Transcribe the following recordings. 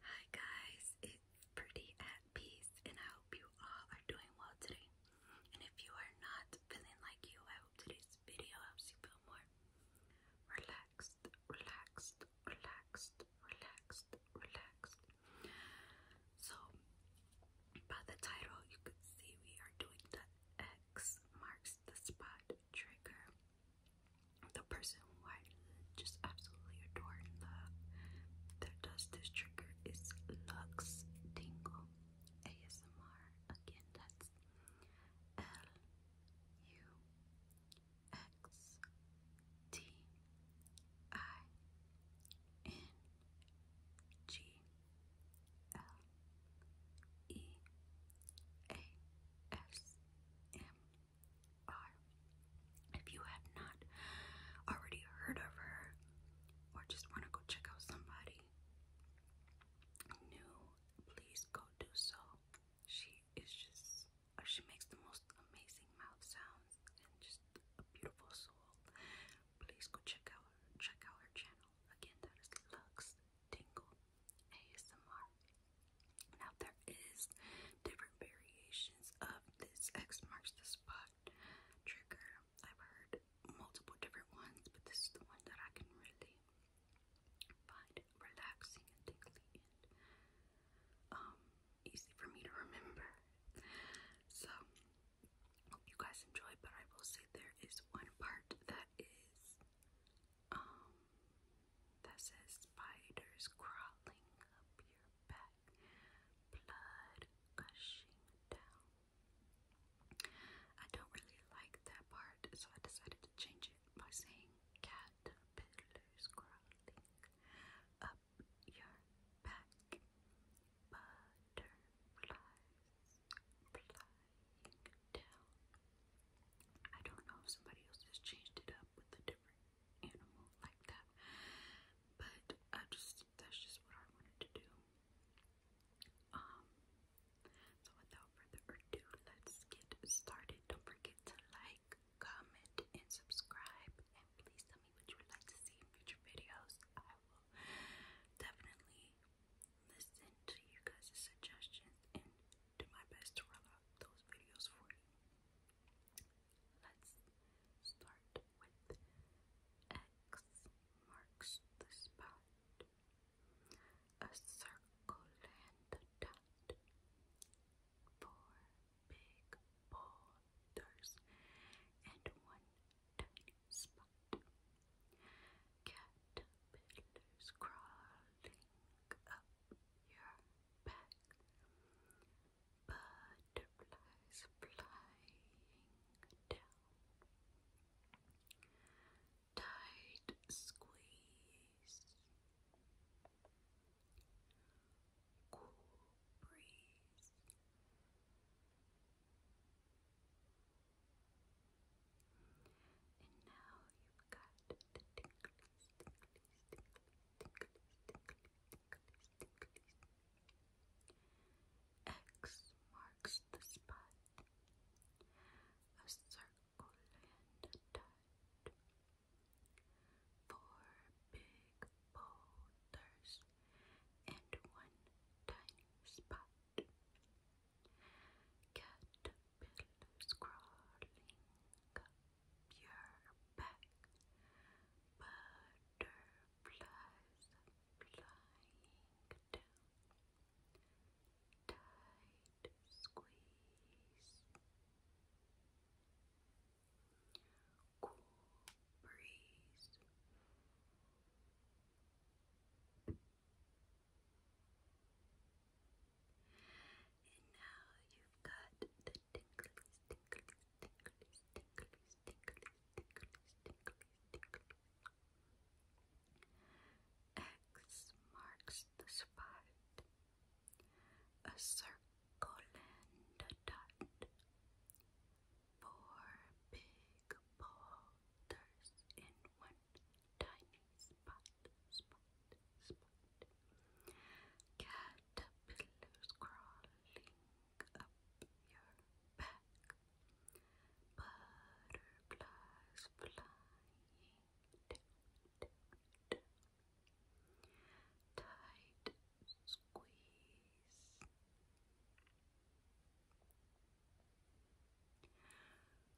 Hi guys, it's Pretty at Peace, and I hope you all are doing well today. And if you are not feeling like you, I hope today's video helps you feel more relaxed, relaxed, relaxed, relaxed, relaxed. So, by the title, you could see we are doing the X marks the spot trigger the person I just absolutely adore that does this trigger is Lux Tingle ASMR. Again, that's L U X T I N G L E A S M if you have not already heard of her or just want to go check out somebody new, please go do so. She is just, uh, she makes the most amazing mouth sounds and just a beautiful soul. Please go check out check out her channel. Again, that is Lux Tingle ASMR. Now there is different variations of this X marks the spot trigger. I've heard multiple different ones, but this is the one that I can really find relaxing and tingly and um, easy for me to remember. So hope you guys enjoy, but I will say there is one part that is um, that says spiders crawling up your back, blood gushing down. I don't really like that part, so I decided to change it by saying caterpillars crawling up your back, butterflies flying down. I don't know if somebody else has changed it up with a different animal like that, but I just that's just what I wanted to do. Um, so without further ado, let's get started. Don't forget to like, comment, and subscribe, and please tell me what you would like to see in future videos. I will definitely listen to you guys' suggestions and do my best to roll those videos for you. Let's start with X marks the spot. A circle and a dot. Four big boulders and one tiny spot. Caterpillars crawling up you back. Butterflies flying down. Tight squeeze. Cool breeze. And now you've got X marks the spot. A circle and a dot. Four big boulders and one tiny spot. Cat Pillows crawling up your back, butterflies flying down, tight squeeze, Cool breeze. And now you've got the tinklies, tinklies, tinklies, tinklies, tinklies, tinklies, tinklies, tinklies. X marks the spot. A circle and a dot. Four big boulders in one tiny spot, spot, spot. Caterpillars crawling up your back. Butterflies flying Tight squeeze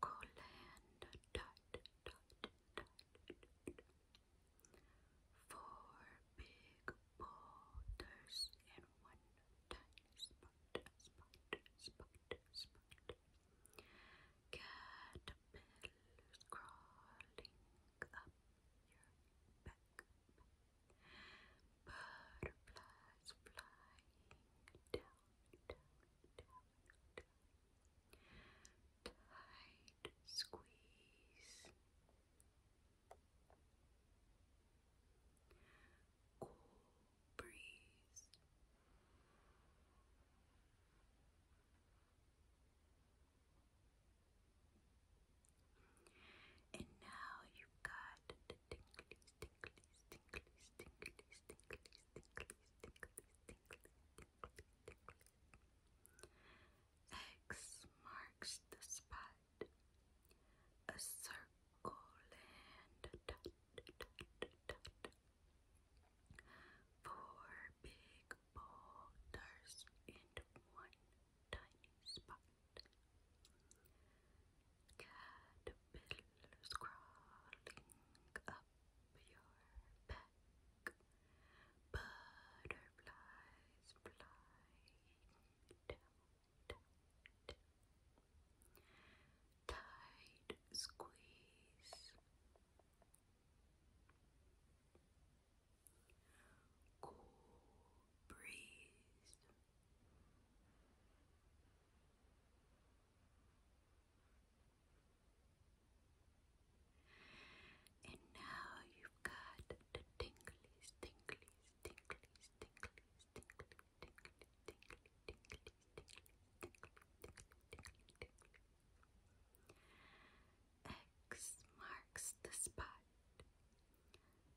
Coland dot dot dot four big boulders in one tiny spot spot spot spot caterpillars crawling up your back butterflies flying down tight, squeeze, cool breeze. And now you got the tingly, tingly, tingles, tingles, X marks the spot. A circle and Four big boulders and one tiny spot. Caterpillars crawling up your back. Butterflies flying down, squeeze. Cool breeze. And now you've got the tinglies, tinglies, tinglies, tinglies, tinglies, tinglies, tinglies, tinglies, tinglies, tinglies, X marks the spot.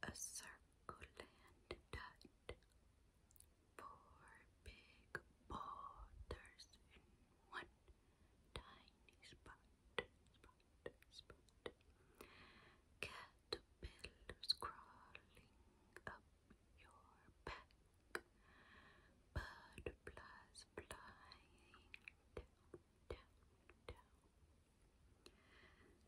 A circle and a dot. Four big boulders in one tiny spot, Caterpillars crawling up your back. Butterflies flying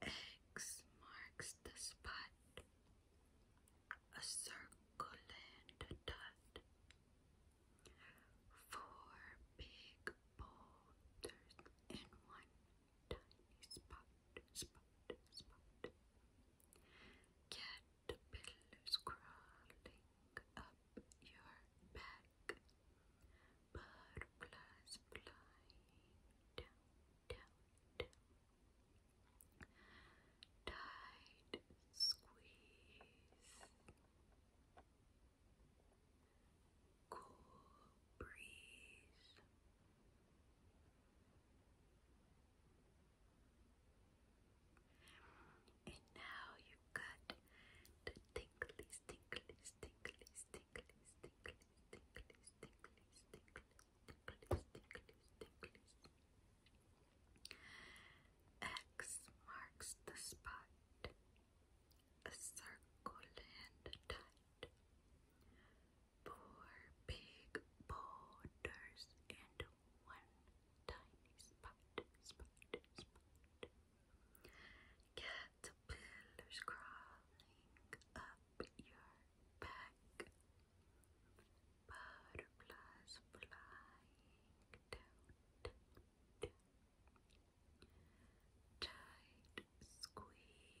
X marks the spot. A circle and a dot. Four big boulders in one tiny spot. Spot, spot. Caterpillars crawling up your back. Butterflies flying down, tight squeeze, cool breeze. And now you got the tinklies, tinklies, tinklies, tinklies, tinklies, tinklies, tinklies, X marks the spot, a circle and tight. Four big boulders and one tiny spot, spot, got pillars crawling up your back, butterflies flying down, tight squeeze, cool breeze.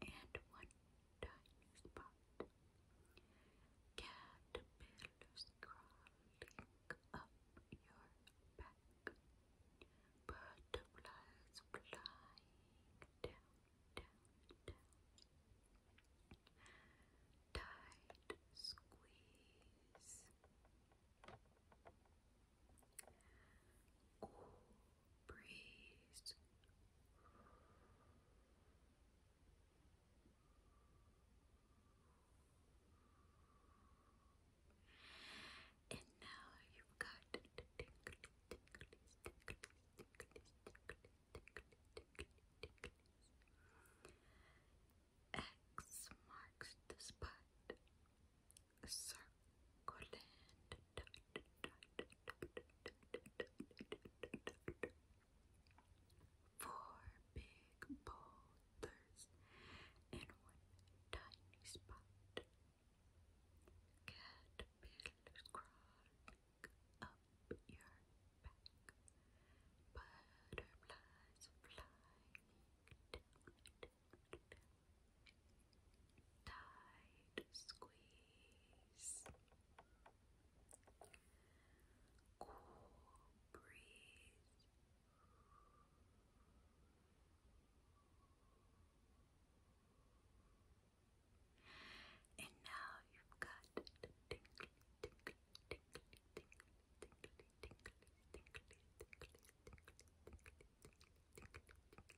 and one tiny spot. Caterpillars crawling up your back. Butterflies flying down, down, down. Tight squeeze. Cool breeze. And now you've got X marks the spot. Four big boulders in one tiny spot. Caterpillars crawling up your back. Butterflies flying tight squeeze, cool breeze. And now you've got